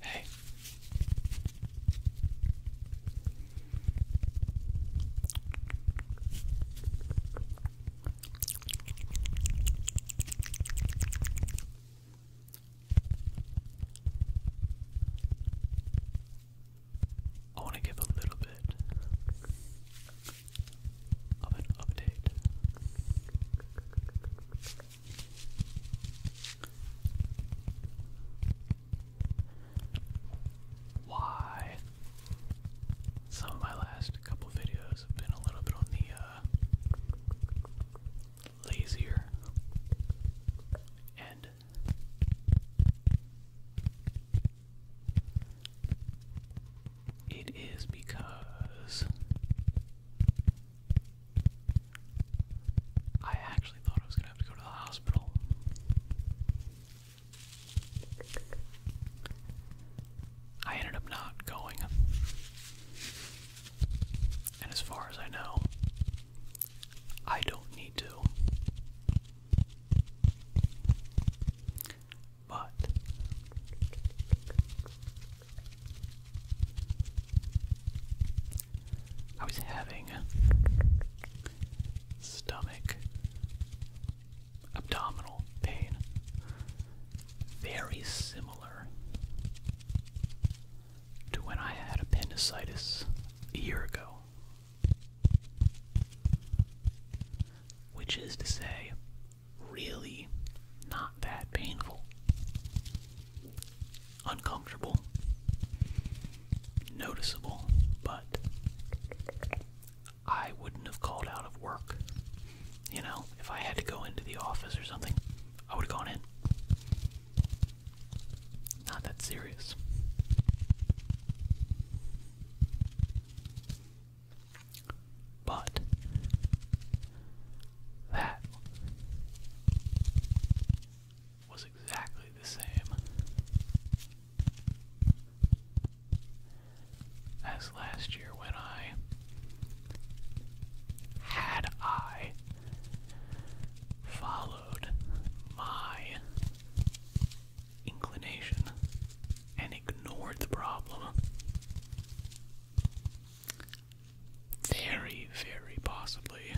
Hey. I want to give a little bit of an update why? Some of my last couple videos have been a little bit on the uh, lazier end. It is because I actually thought I was gonna have to go to the hospital. I ended up not going. And as far as I know, I don't need to. But I was having stomach, abdominal pain. Very similar to when I had appendicitis a year ago. Which is to say, really not that painful uncomfortable, noticeable, but I wouldn't have called out of work. You know, if I had to go into the office or something, I would have gone in. Not that serious. But that was exactly the same as last year when I had I followed my inclination and ignored the problem. Very, very possibly,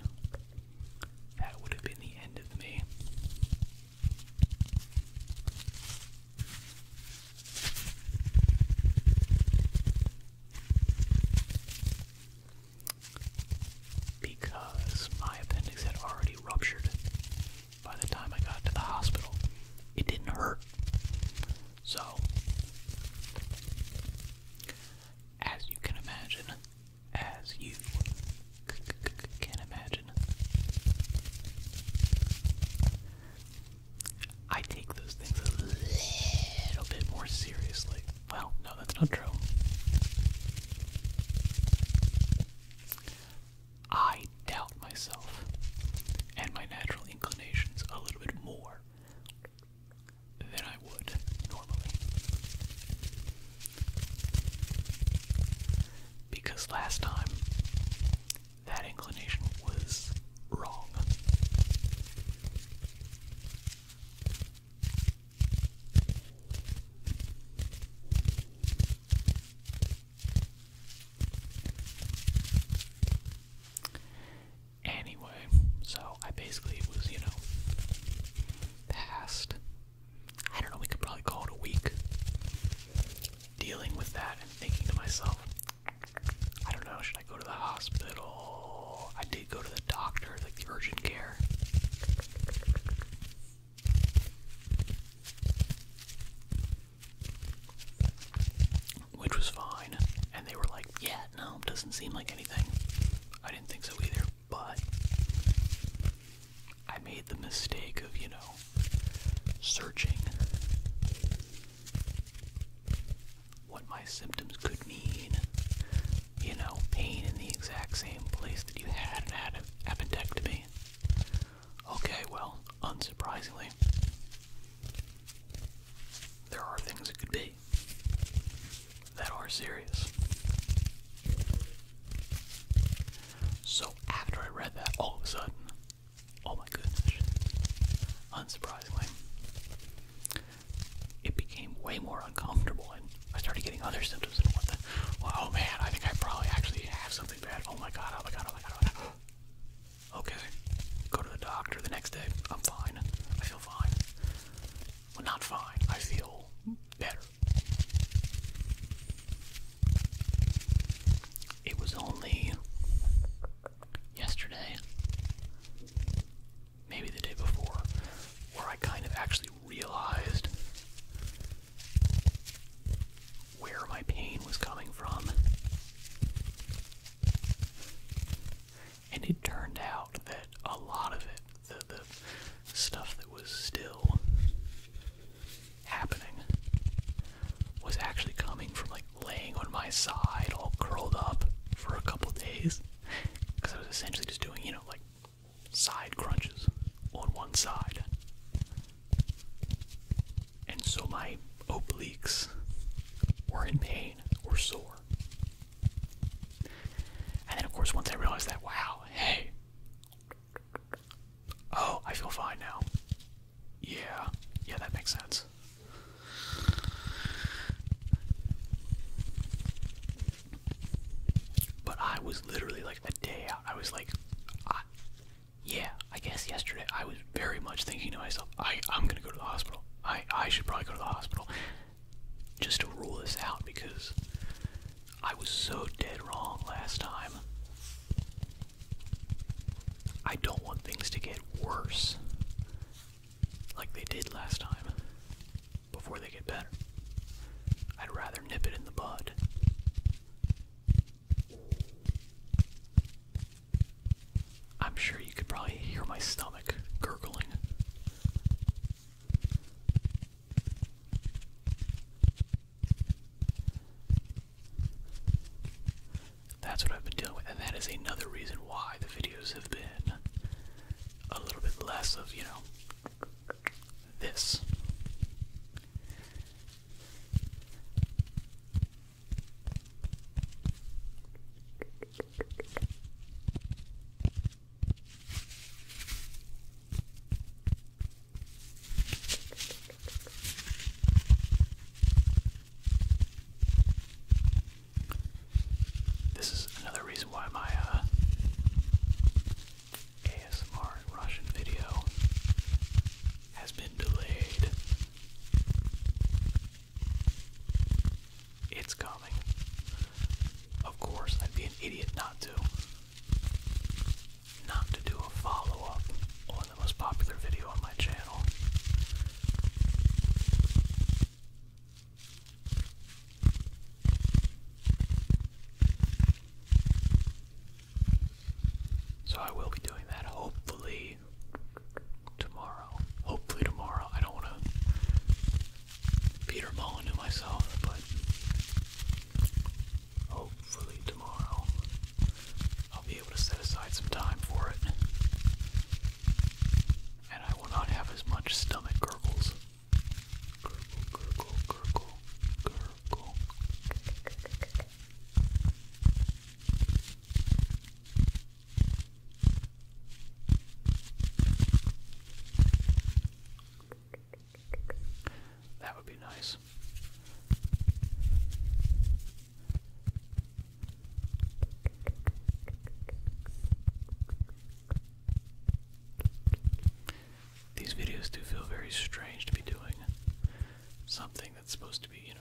that would have been the end of me. Because my appendix had already ruptured by the time I got to the hospital, it didn't hurt. So, as you can imagine, as you can imagine. I take those things a little bit more seriously. Well, no, that's not true. I doubt myself and my natural inclinations a little bit more than I would normally. Because last time, that inclination was wrong anyway. So I basically was, you know, past, I don't know, we could probably call it a week dealing with that and thinking to myself, I don't know, should I go to the hospital? I did go to the doctor, like urgent care. Which was fine, and they were like, yeah, that? No, doesn't seem like anything. I didn't think so either, but I made the mistake of, you know, searching what my symptoms could mean. You know, pain in the exact same place that you had and had an appendectomy. Okay, well, unsurprisingly, there are things it could be debate that are serious. So after I read that, all of a sudden, oh my goodness, unsurprisingly, it became way more uncomfortable and I started getting other symptoms and what the, well, oh man, I think I probably actually have something bad. Oh my god, oh my god, oh my god, oh my god. Okay, go to the doctor the next day. I'm fine. I feel fine. Well, not fine. I feel better. It was only yesterday, maybe the day before, where I kind of actually realized where my pain was coming from. And it turned out that a lot of it, the, stuff that was still happening, was actually coming from like laying on my side, all curled up for a couple days. Because I was essentially just doing, you know, like side crunches on one side. And so my obliques were in pain, or sore. And then, of course, once I realized that, wow, hey, oh, I feel fine now. Yeah, yeah, that makes sense. But I was literally like a day out. I was like, yeah, I guess yesterday I was very much thinking to myself, I, I'm gonna go to the hospital. I, I should probably go to the hospital just to rule this out because I was so dead wrong last time. I don't want things to get worse like they did last time before they get better. I'd rather nip it in the bud. I'm sure you could probably hear my stomach gurgling. That's what I've been dealing with, and that is another reason why the videos have been a little bit less of, you know, this. This is another reason why my uh, ASMR Russian video has been delayed. It's coming. Of course, I'd be an idiot not to. Not to do a follow up on the most popular video on my channel. So I will be doing that hopefully tomorrow. Hopefully tomorrow. I don't want to Peter Mullen to myself, but hopefully tomorrow I'll be able to set aside some time for it. And I will not have as much stomach gurgles. That would be nice. These videos do feel very strange to be doing something that's supposed to be, you know,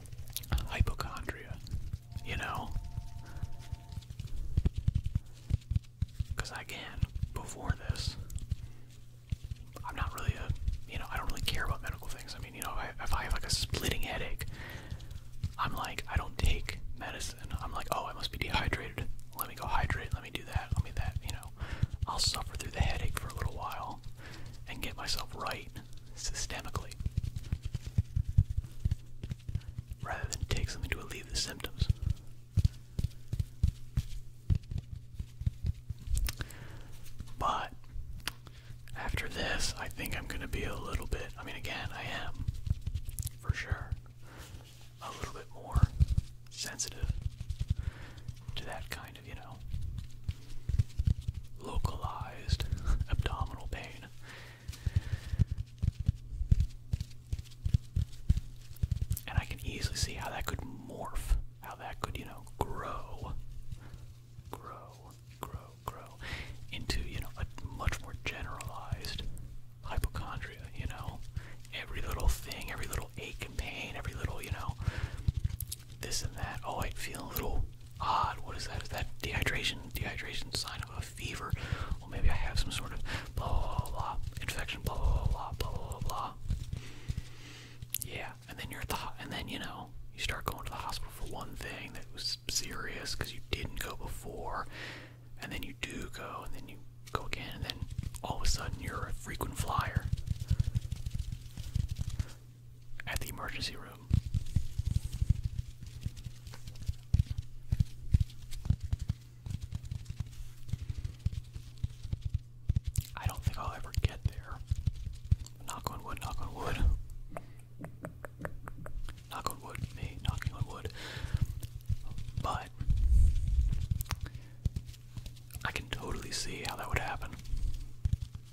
hypochondria, you know? Because again, before this, I'm not really a, you know, I don't really care about medical things. I mean, you know, if I, have like a splitting headache, I'm like, I don't take medicine. I'm like, oh, I must be dehydrated. Let me go hydrate. Let me do that. Let me that, you know. I'll suffer through the headache for a little while and get myself right systemically rather than take something to alleviate the symptoms. But after this, I think I'm going to be a little bit, I mean, again, I am for sure a little bit more sensitive to that kind of, you know, localized abdominal pain. And I can easily see how that could morph, how that could, you know, grow, grow, grow, grow into, you know, a much more generalized hypochondria, you know? Every little thing, every little ache and pain, every little, you know, this and that. Oh, I feel a little odd. What is that? Is that dehydration? Dehydration sign of a fever? Well, maybe I have some sort of blah blah blah, infection. Blah blah blah blah blah blah. Yeah, and then you're at the and then you know you start going to the hospital for one thing that was serious because you didn't go before, and then you do go, and then you go again, and then all of a sudden you're a frequent flyer at the emergency room. I don't think I'll ever get there. Knock on wood, knock on wood. Knock on wood, me knocking on wood. But I can totally see how that would happen.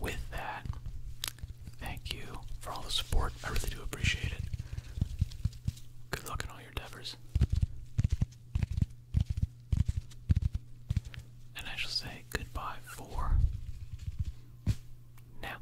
With that, thank you for all the support. I really do appreciate it. Good luck in all your endeavors. And I shall say goodbye for now.